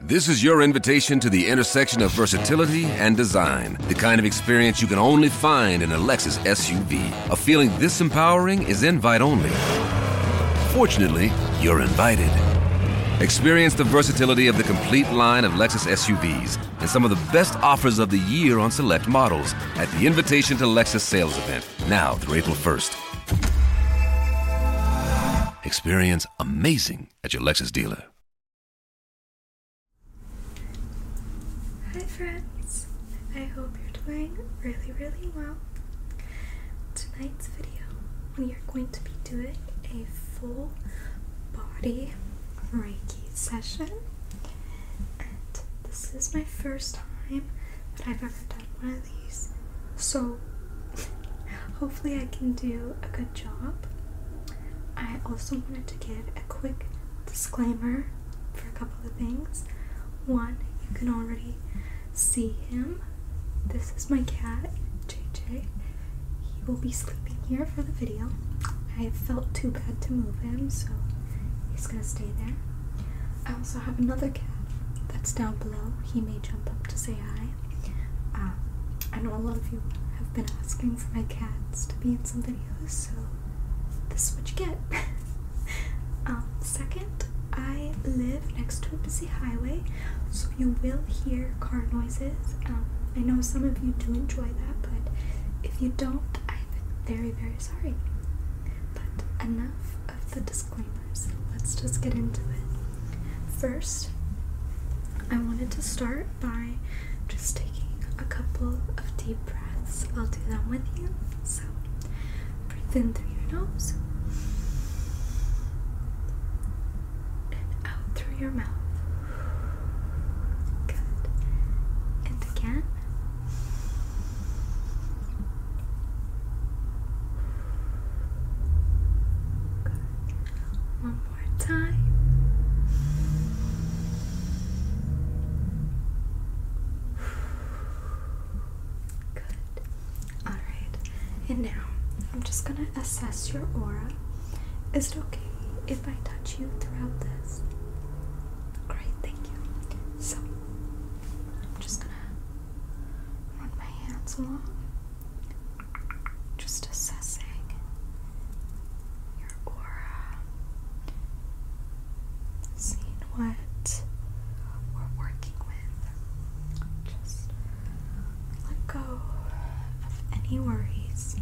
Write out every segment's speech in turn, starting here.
This is your invitation to the intersection of versatility and design, the kind of experience you can only find in a Lexus SUV. A feeling this empowering is invite only. Fortunately, you're invited. Experience the versatility of the complete line of Lexus SUVs and some of the best offers of the year on select models at the Invitation to Lexus sales event, now through April 1st. Experience amazing at your Lexus dealer. Hi, friends. I hope you're doing really, really well. Tonight's video, we are going to be doing a full body Reiki session. And this is my first time that I've ever done one so hopefully, I can do a good job. I also wanted to give a quick disclaimer for a couple of things. One, you can already see him. This is my cat, JJ. He will be sleeping here for the video. I felt too bad to move him, so he's gonna stay there. I also have another cat that's down below. He may jump up to say um, I know a lot of you have been asking for my cats to be in some videos, so this is what you get. Um, second, I live next to a busy highway, so you will hear car noises. Um, I know some of you do enjoy that, but if you don't, I'm very, very sorry. But enough of the Let's just get into it. First, I wanted to start by just taking a couple of deep breaths. I'll do them with you. So, breathe in through your nose and out through your mouth. Good. And again. One more time. Good. All right. And now I'm just going to assess your aura. Is it okay if I touch you throughout this? Great, thank you. So, I'm just going to run my hands along, just assessing your aura, seeing what we're working with. Just let go of any worries.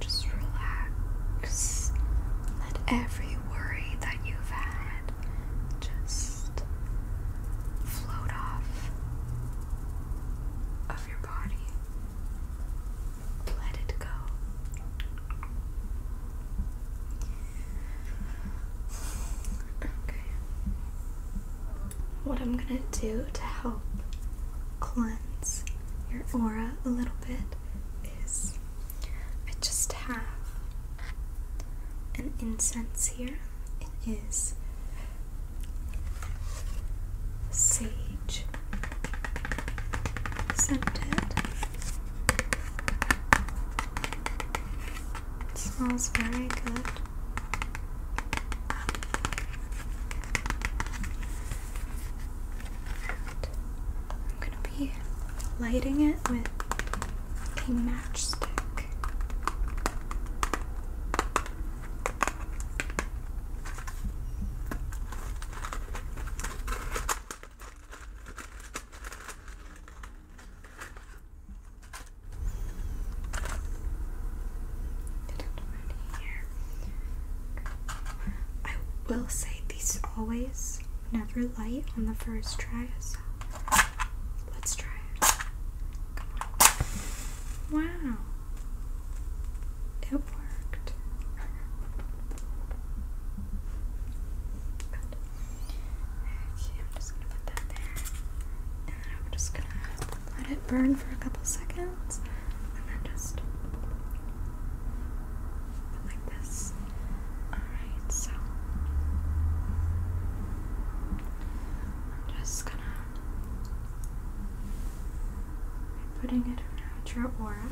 Just relax. Let every worry that you've had just float off of your body. Let it go. Okay. What I'm going to do to help cleanse your aura a little bit is I just have an incense here. It is sage scented. smells very good. I'm gonna be lighting it with a matchstick. I will say these always never light on the first try, so let's try Wow. Okay, I'm just gonna put that there. And then I'm just gonna let it burn for a couple seconds. And then just like this. Alright, so I'm just gonna I'm putting it around your aura.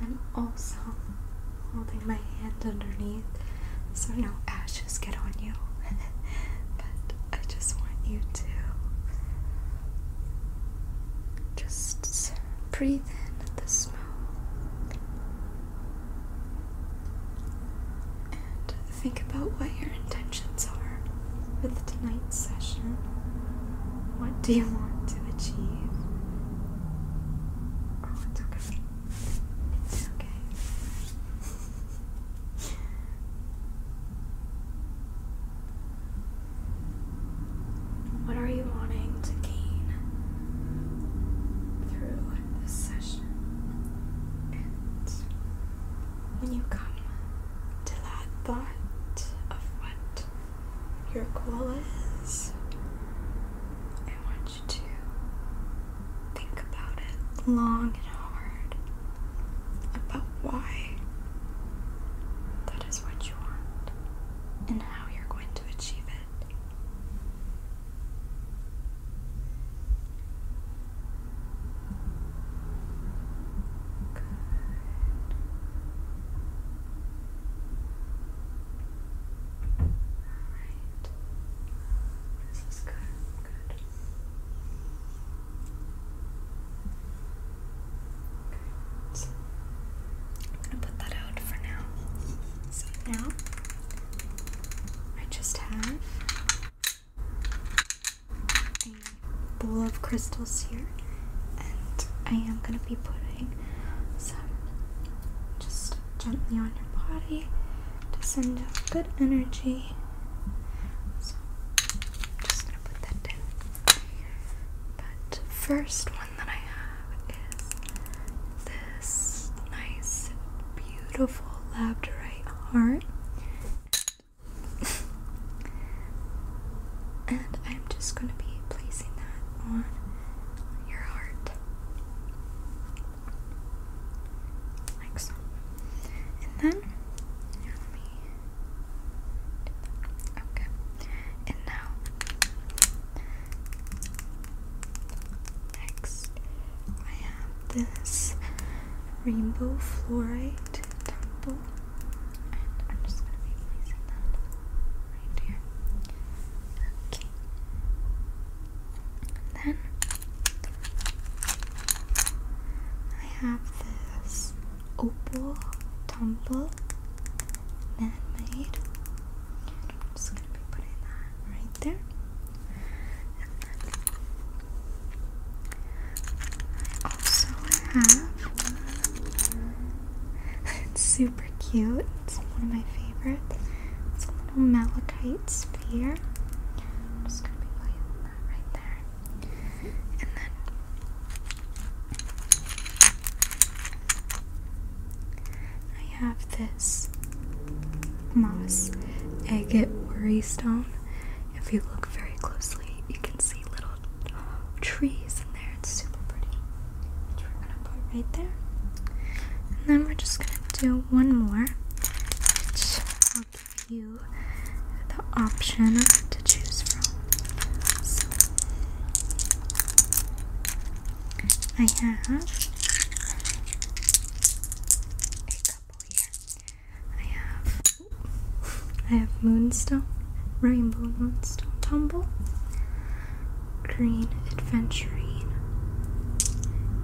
I'm also holding my hand underneath so no ashes get on you. but I just want you to just breathe in the smoke and think about what you're intentions are with tonight's session. What do you want to achieve? Oh, it's okay. It's okay. What are you wanting to gain through this session? when you come to that thought of what your goal is, I want you to think about it long and hard about why that is what you want and how you're going to achieve it. Good. All right. This is good. Good. I'm gonna put that out for now. So now I just have a bowl of crystals here, and I am going to be putting some just gently on your body to send out good energy. So I'm just going to put that down. But first one that I have is this nice, beautiful labradorite heart. and I'm just going to be placing that on your heart. Like so. And then, yeah, Okay. And now, next, I have this rainbow fluorite temple. And I'm just gonna be placing that right here. Okay. And then I have this opal temple man-made. I'm just gonna be putting that right there. Also have it's super cute. It's one of my favorites. It's a little malachite sphere. just gonna be that right there. And then I have this moss agate worry stone. If you look very closely, you can see little uh, trees in there. It's super pretty. Which we're gonna put right there. And then we're just gonna do one more, which will give you the option to choose from. So I have a couple here. I have I have Moonstone, Rainbow Moonstone Tumble, Green Adventurine,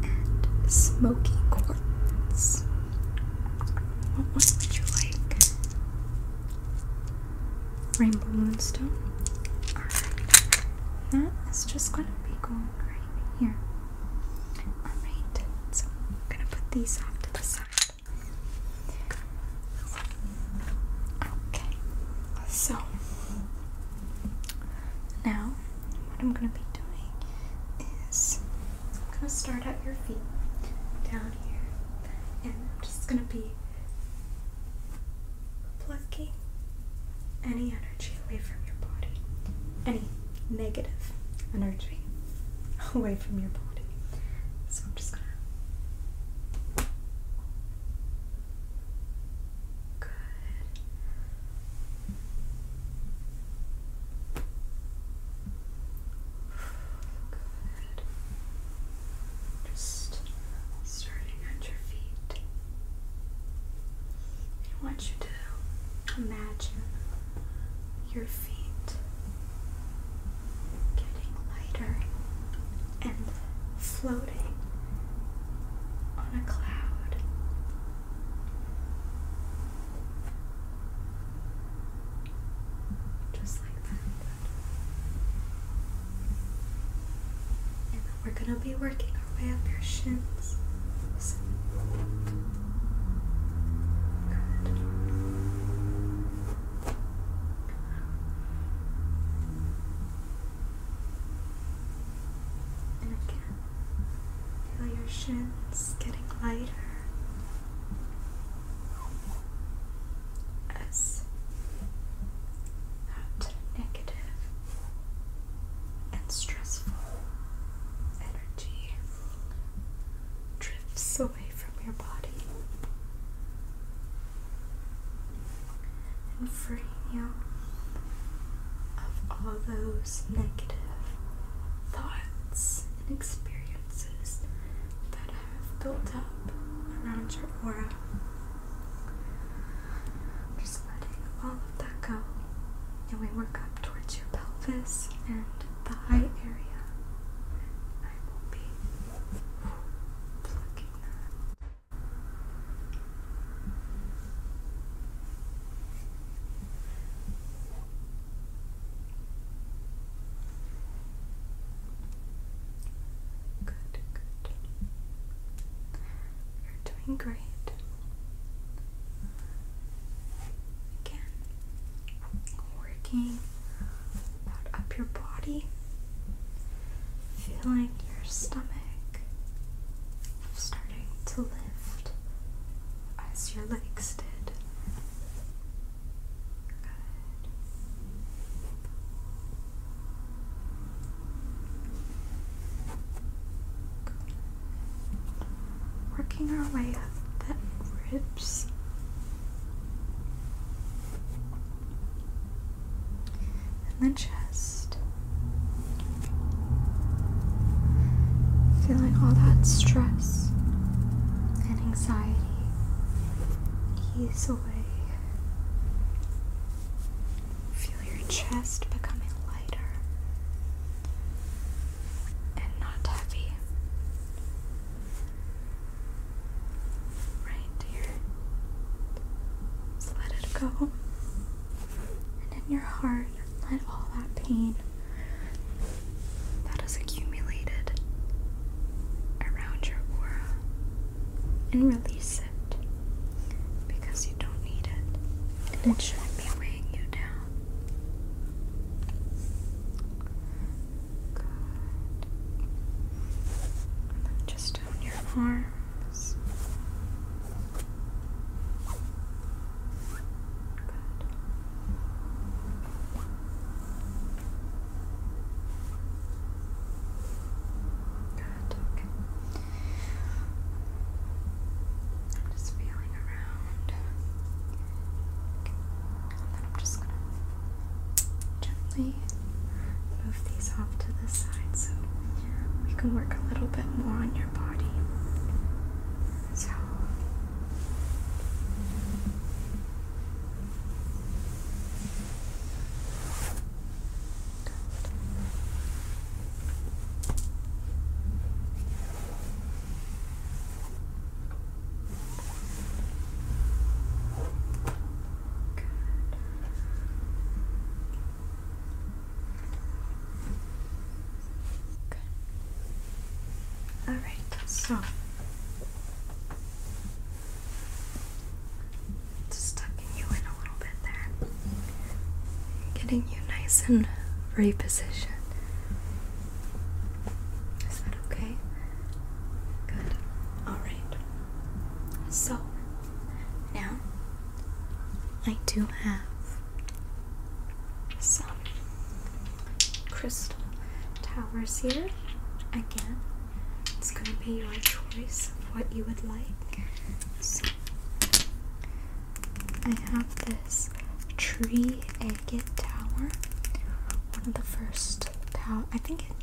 and Smoky Quartz. What one would you like? Rainbow Moonstone. That is just gonna be going right here. Alright, so I'm gonna put these off to the side. Okay, so now what I'm going to be doing is I'm going to start at your feet down here, and I'm just going to be plucking any energy away from your body. Any negative energy away from your body. So I'm just gonna. Good. Good. Just starting at your feet. I you to imagine your feet getting lighter and floating on a cloud. Just like that. And we're going to be working our way up your shins. And again, feel your shins getting lighter as that negative and stressful energy drifts away from your body and freeing you of all those negative thoughts and experiences that have built up around your aura. Just letting all of that go and we work up towards your pelvis and the eye area. I will be plucking that. Good, good. You're doing great. Again, working up your body, feeling your stomach starting to lift as your legs did. Good. Working our way up the ribs. And then chest. Feeling all that stress and anxiety ease away. Feel your chest becoming lighter and not heavy. Right here. let it go. And in your heart, let all that pain that accumulated around your aura and release it because you don't need it. And it shouldn't be weighing you down just down your arms. Good. Good. I'm just feeling around. I'm just gonna gently move these off to the side so we can work a little bit more on your body. So Good. All right, so just you in a little bit there. Getting you nice and repositioned. Is that okay? Good. Alright. So, now I do have some crystal towers here. Again, it's going to be your choice of what you would like. So, I have this tree agate tower. One of the first tower. I think it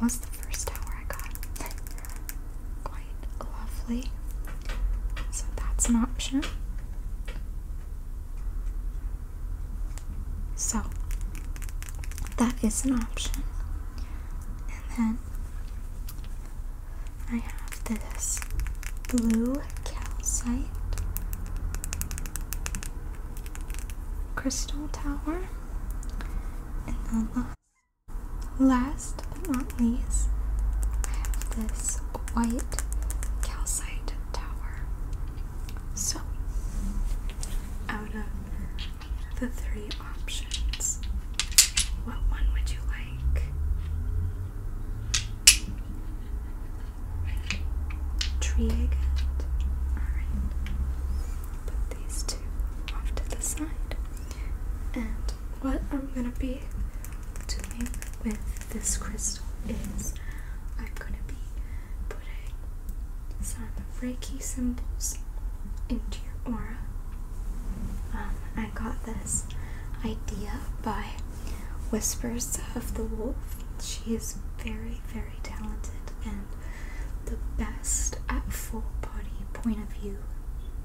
was the first tower I got. Quite lovely. So that's an option. So that is an option. And then I have this blue calcite crystal tower. And then last, last but not least, I have this white calcite tower. So, out of the three options, what one would you like? tree again. Alright. Put these two off to the side. And what I'm gonna be doing with this crystal is I'm gonna be putting some Reiki symbols into your aura. Um, I got this this idea by Whispers of the Wolf. She is very, very talented and the best at full body point of view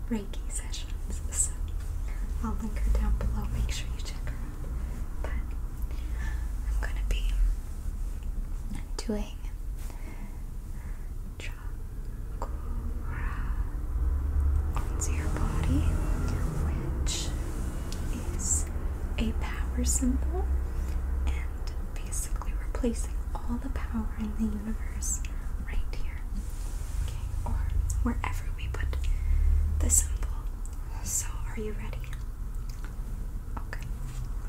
Reiki sessions. So I'll link her down below. Make sure you check her out. But I'm gonna be doing. Draw onto your body, which is a power symbol and basically replacing all the power in the universe right here. Okay, or wherever we put the symbol. So, are you ready? Okay,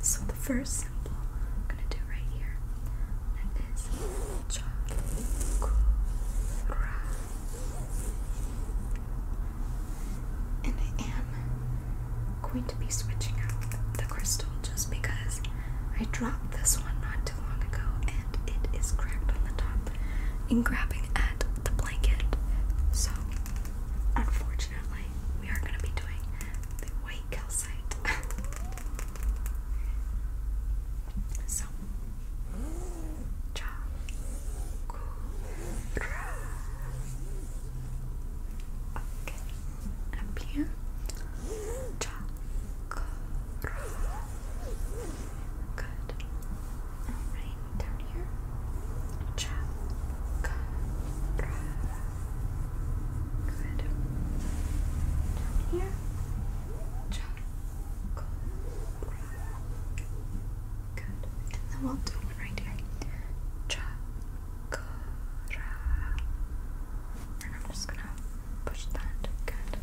so the first symbol I'm gonna do right here, and I am going to be switching out the crystal just because I dropped this one not too long ago and it is cracked on the top In grabbing at the blanket. So, unfortunately, we are going to be doing the white calcite. So, Chakura. Okay, up here. Chakura. Good. Alright, down here. Chakura. Good. Down here. Chakra. And then we'll do one right here. Chakra. And I'm just gonna push that. Good.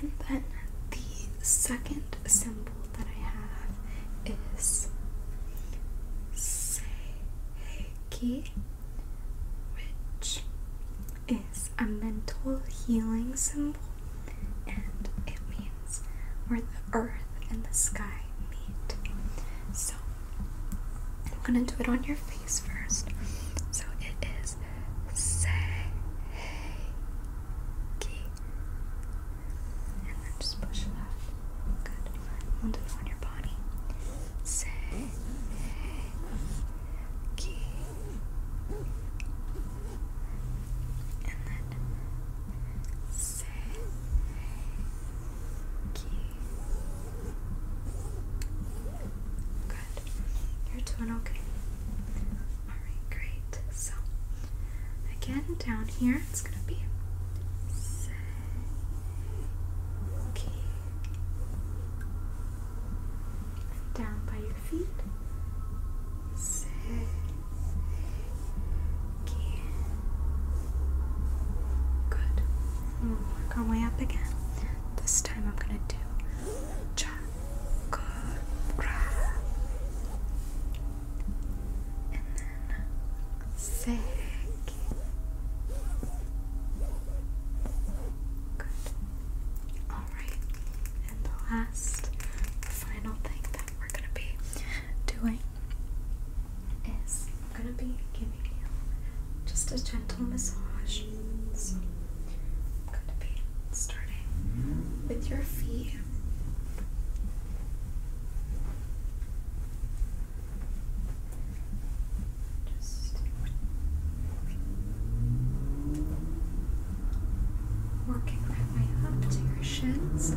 And then the second symbol that I have is Seiki, which is a mental healing symbol, and it means where the earth and the sky meet. So, I'm gonna do it on your face first. So, it is Seiki. And then just push it Good. We'll do it on your body. Seiki key. And then say key. Good. You're doing okay. Alright, great. So again down here it's gonna be Key down by your feet. Six. Good. work our way up again. This time I'm gonna do chakra. And then sick. Good. Alright, and the last, final thing that we're gonna be doing is I'm gonna be giving you just a gentle massage. So I'm gonna be starting with your feet just working my way up to your shins.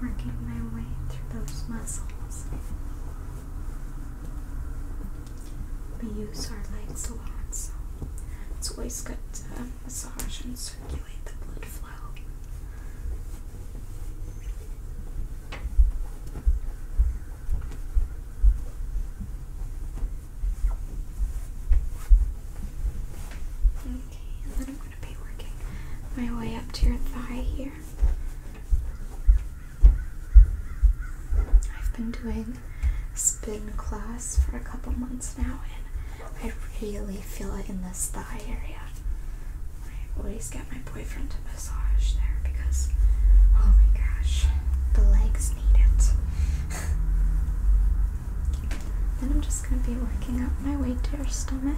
Working my way through those muscles. We use our legs a lot, so it's always good to massage and circulate the blood flow. Okay, and then I'm going to be working my way up to your thigh here. I've been doing spin class for a couple months now, and I really feel it in this thigh area. I always get my boyfriend to massage there because, oh my gosh, the legs need it. then I'm just going to be working up my way to your stomach,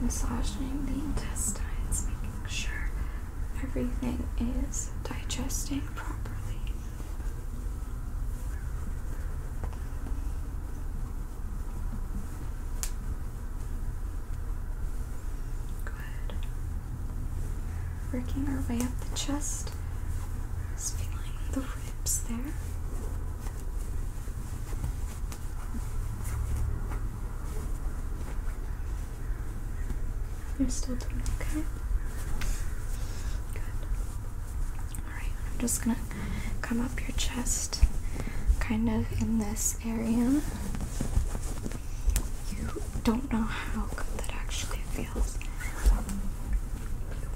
massaging the intestines, making sure everything is digesting properly. Good. Working our way up the chest, feeling the ribs there. You're still doing okay. Good. Alright, I'm just gonna come up your chest kind of in this area. You don't know how good that actually feels.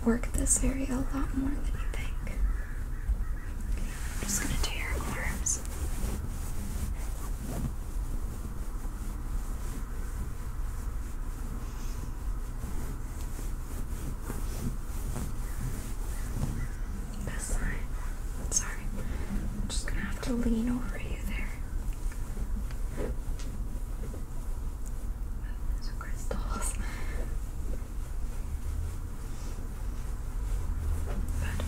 work this area a lot more than you think. I'm just gonna do your arms. Best line. Sorry. I'm just gonna have to lean over you there. Those crystals. Good.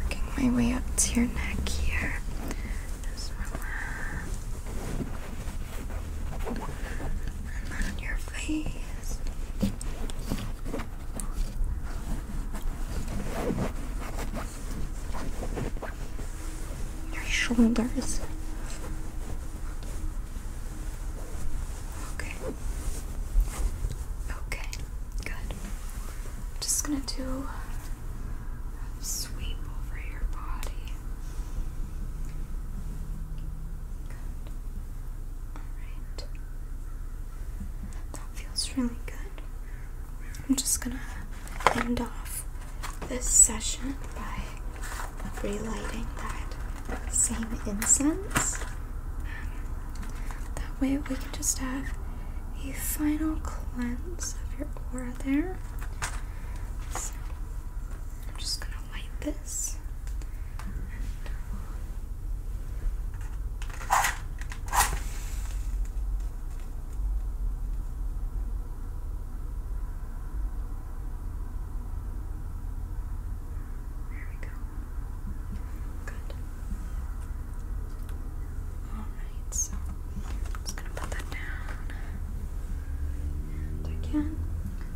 Working my way up to your neck here. Just relax. And your face. Your shoulders. Okay. Okay. Good. I'm just gonna do a sweep over your body. Good. Alright. That feels really good. I'm just gonna end off this session by relighting that same incense. That way we can just have a final cleanse of your aura there. I'm just gonna light this. There we go. Good. Alright, so I'm just gonna put that down. And again,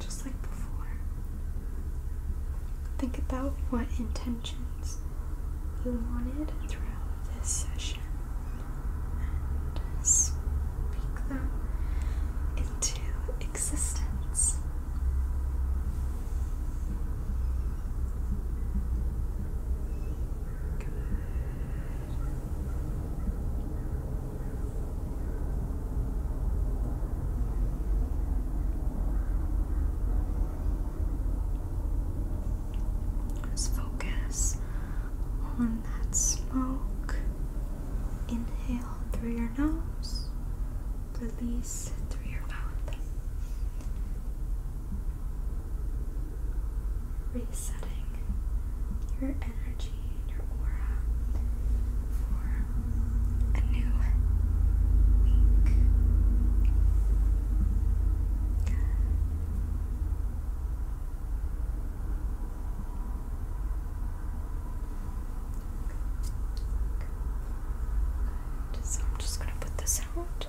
just like before, think about what intentions you wanted throughout this session and speak them into existence. Just focus on that smoke. Inhale through your nose, release through your mouth resetting your energy and your aura for a new week. So I'm just going to put this out.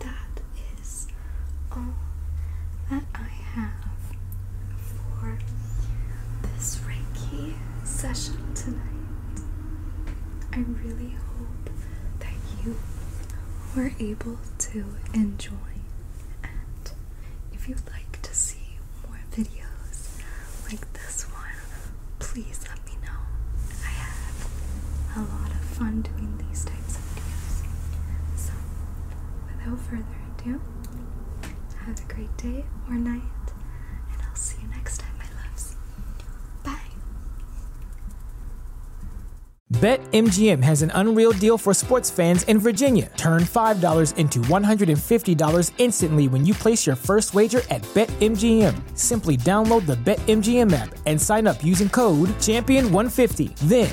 that is all that I have for this Reiki session tonight. I really hope that you were able to enjoy. And if you'd like to see more videos like this one, please let me know. I have a lot of fun doing these types of. So, without further ado, have a great day or night, and I'll see you next time, my loves. Bye. BetMGM has an unreal deal for sports fans in Virginia. Turn $5 into $150 instantly when you place your first wager at BetMGM. Simply download the BetMGM app and sign up using code Champion150. Then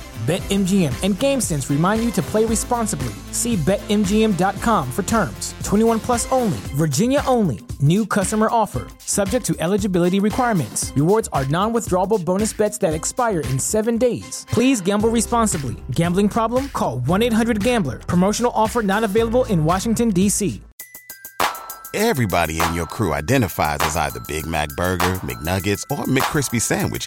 BetMGM and GameSense remind you to play responsibly. See BetMGM.com for terms. 21 plus only, Virginia only. New customer offer, subject to eligibility requirements. Rewards are non withdrawable bonus bets that expire in seven days. Please gamble responsibly. Gambling problem? Call 1 800 Gambler. Promotional offer not available in Washington, D.C. Everybody in your crew identifies as either Big Mac Burger, McNuggets, or McCrispy Sandwich